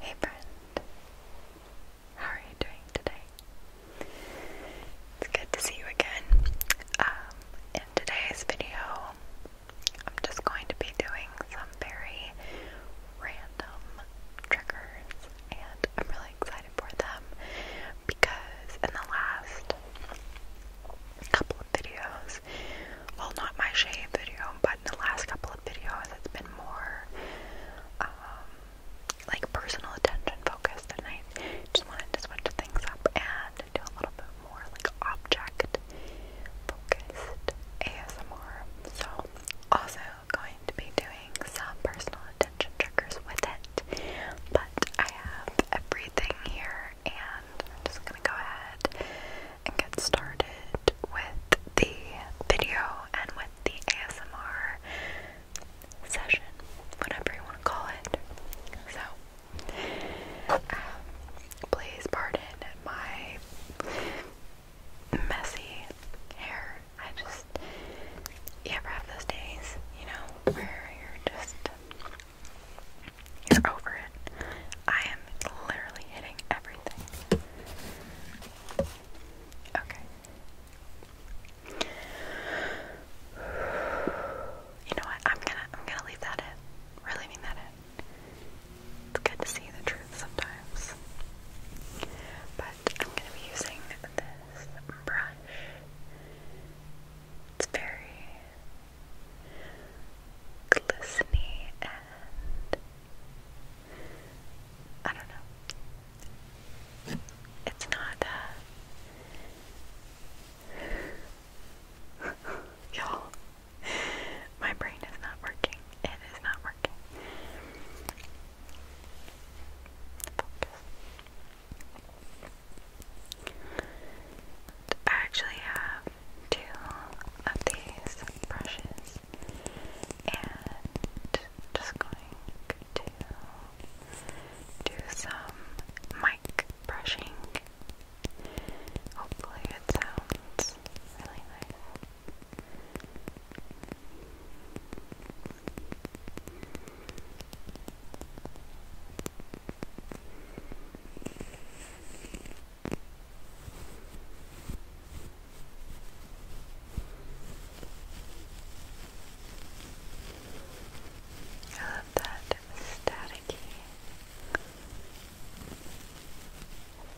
Hey friend, how are you doing today? It's good to see you again. Um, in today's video, I'm just going to be doing some very random triggers, and I'm really excited for them because in the last couple of videos, well, not my shave video, um, but in the last couple of videos, it's been more um, like personal attention focused, and I just wanted to switch things up and do a little bit more like object focused ASMR. So, also going to be doing some personal attention triggers with it, but I have everything here, and I'm just gonna go ahead and get started with the video and with the ASMR session, whatever you want to call it. So, um, please pardon my messy hair. I just, you ever have those days, you know, where you're just, you're over it. I am literally hitting everything. Okay. You know what? I'm gonna I'm gonna leave that in. Really leaving that in. It's good to see the truth sometimes. But I'm gonna be using this brush. It's very glistening I don't know. It's not, uh. Y'all, my brain is not working. It is not working. Focus. I actually have two of these brushes and just going to do some mic brushing. Hopefully, it sounds really nice. I love that staticky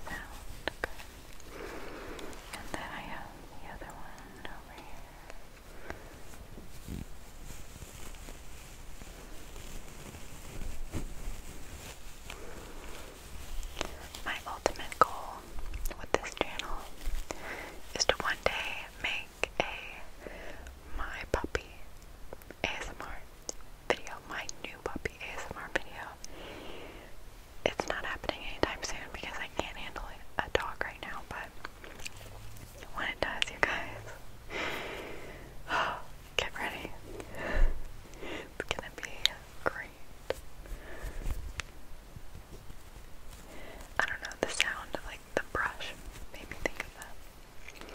sound. And then I have the other one over here. My ultimate goal with this channel is to one day make a my puppy ASMR video, my new puppy ASMR video. It's not happening anytime soon because I can't handle a dog right now, but when it does, you guys, get ready. It's gonna be great great. I don't know, the sound of like the brush made me think of that. I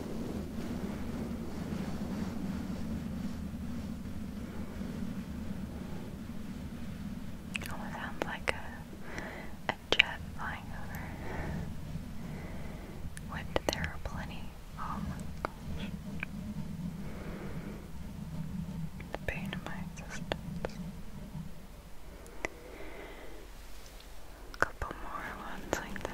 Almost oh, sounds like a, a jet flying over. What there are plenty. Oh The pain in my existence a couple more ones like this.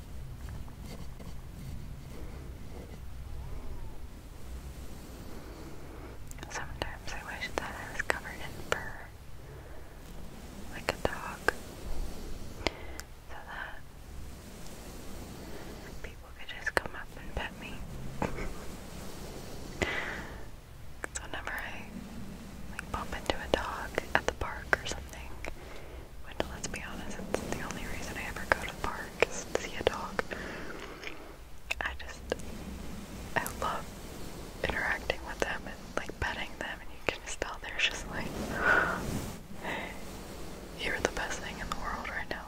Sometimes I wish that I was covered in fur, like a dog, so that people could just come up and pet me. so whenever I like bump into a dog at the park or something, which, let's be honest, it's the only reason I ever go to the park is to see a dog. I just, I love interacting with them and like petting them, and you can just tell they're just like, you're the best thing in the world right now.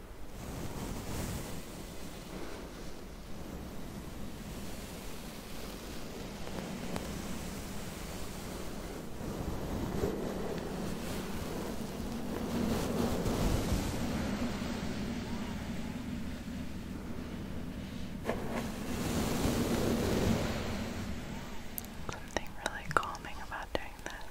Something really calming about doing this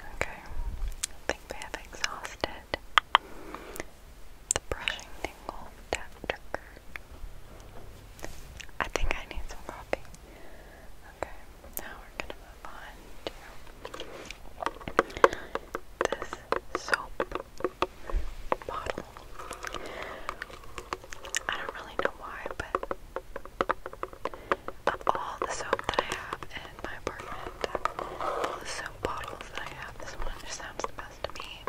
Okay, I think we have exhausted the brushing tingle tap trigger. I think I need some coffee. Okay, now we're gonna move on to this soap bottle. I don't really know why, but of all the soap that I have in my apartment, all the soap bottles that I have, this one just sounds the best to me.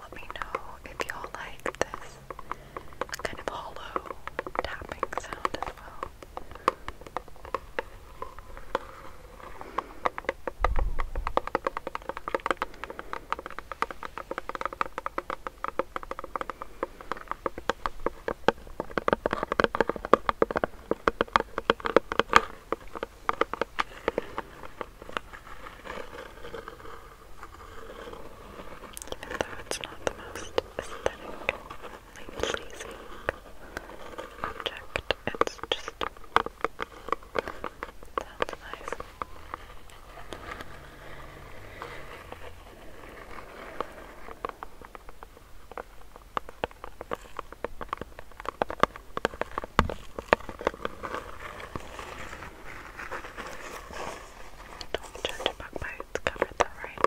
Let me know if y'all like this this kind of hollow tapping sound as well. Even though it's not the most aesthetically pleasing object. It's just sounds nice. Don't judge a book by its cover, though, right?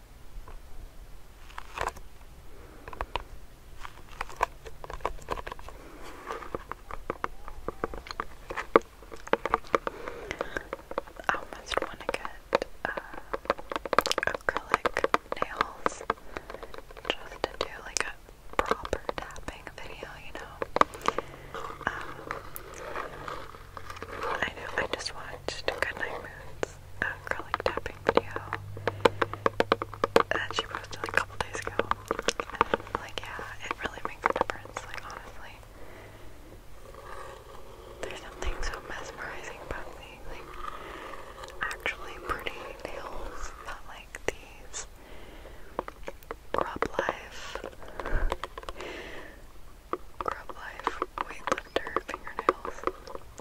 I almost want to get uh, acrylic nails just to do like a proper tapping video, you know. Um, I know I just watched Good Night Moods acrylic tapping video that she posted a couple days ago. like yeah, it really makes a difference, like honestly. There's something so mesmerizing about the like actually pretty nails, not like these Grub Life Grub Life weightlifter fingernails.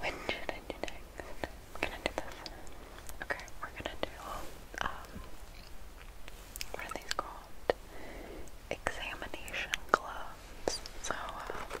When should I do next? Can I do this? Okay, we're gonna do um what are Examination gloves. So um,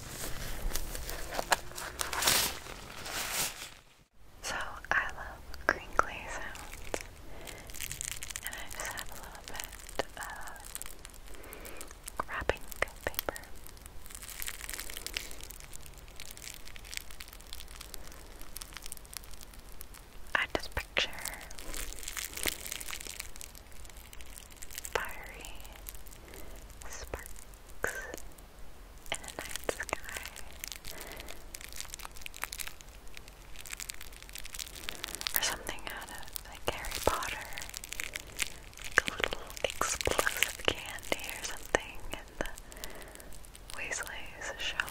So I love crinkly sounds, and I just have a little bit of wrapping paper. I just picture fiery sparks in the night sky. Or something out of like Harry Potter. little explosive candy or something in the Weasley's shop.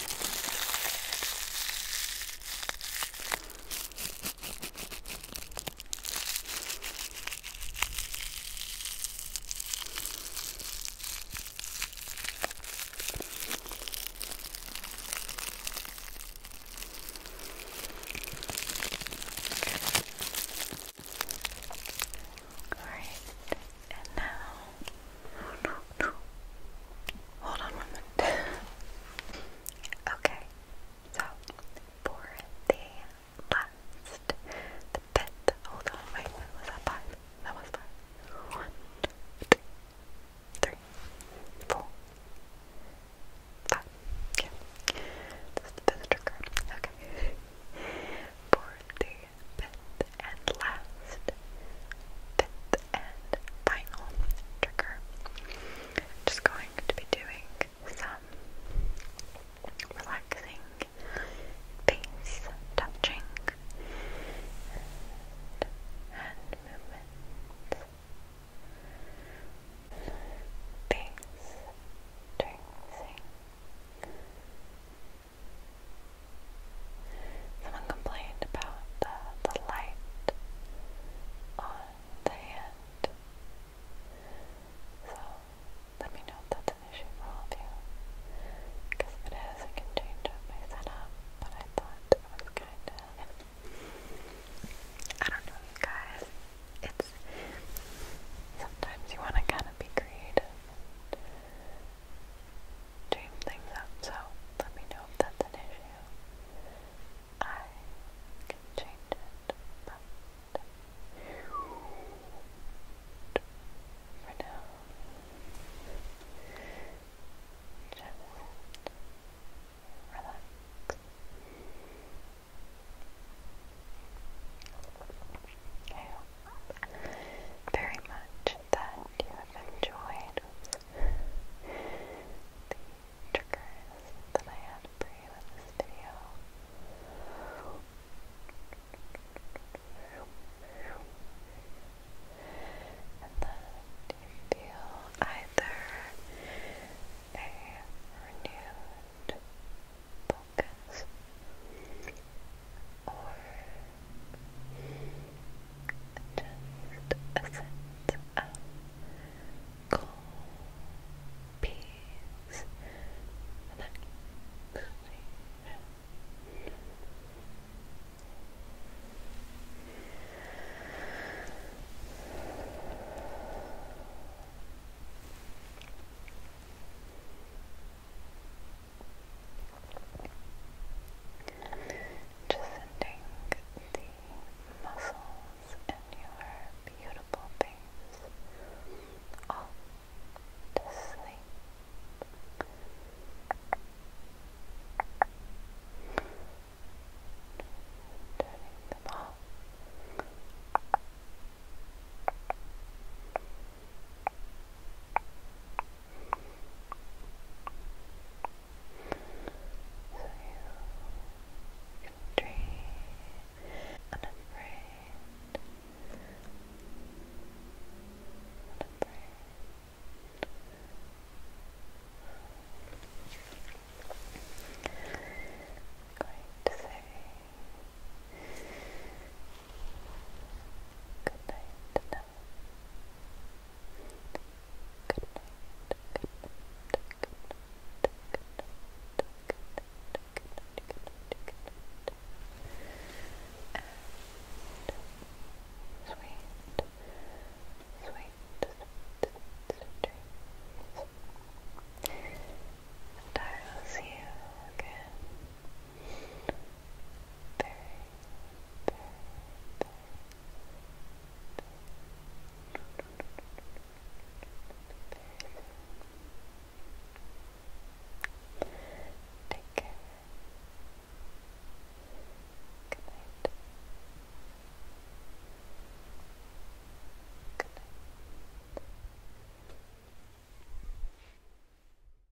All right, and now Oh, no, no. Hold on one minute. okay, so for the last, the hold on, wait, was that five? That was five. One, two, three, four, five. Yeah, that's the fifth Okay, for the fifth and last, fifth and final trigger. just going to be doing some relaxing face touching hand movements. Face tracing, Someone complained about the, the light on the So let me know if that's an issue for all of you. Because if it is, I can change up my setup. But I thought it was kind of. I don't know, guys. It's. Sometimes you want to kind of be creative dream things up, so let me know if that's an issue. I can change it, but for now, just relax. I hope very much that you have enjoyed the triggers that I had for you in this video. And that you feel either a renewed focus or just a sense of calm, peace, just sending the muscles in your beautiful face off to sleep. Turning them off can dream unafraid. unafraid. Going to say good night Good night. Good night. Good night. Good night. Good night. Good night. Good night. Good night. And sweet, sweet, sweet, sweet dreams. And I will see you again very, very, very, very Take care. Good night. Good night.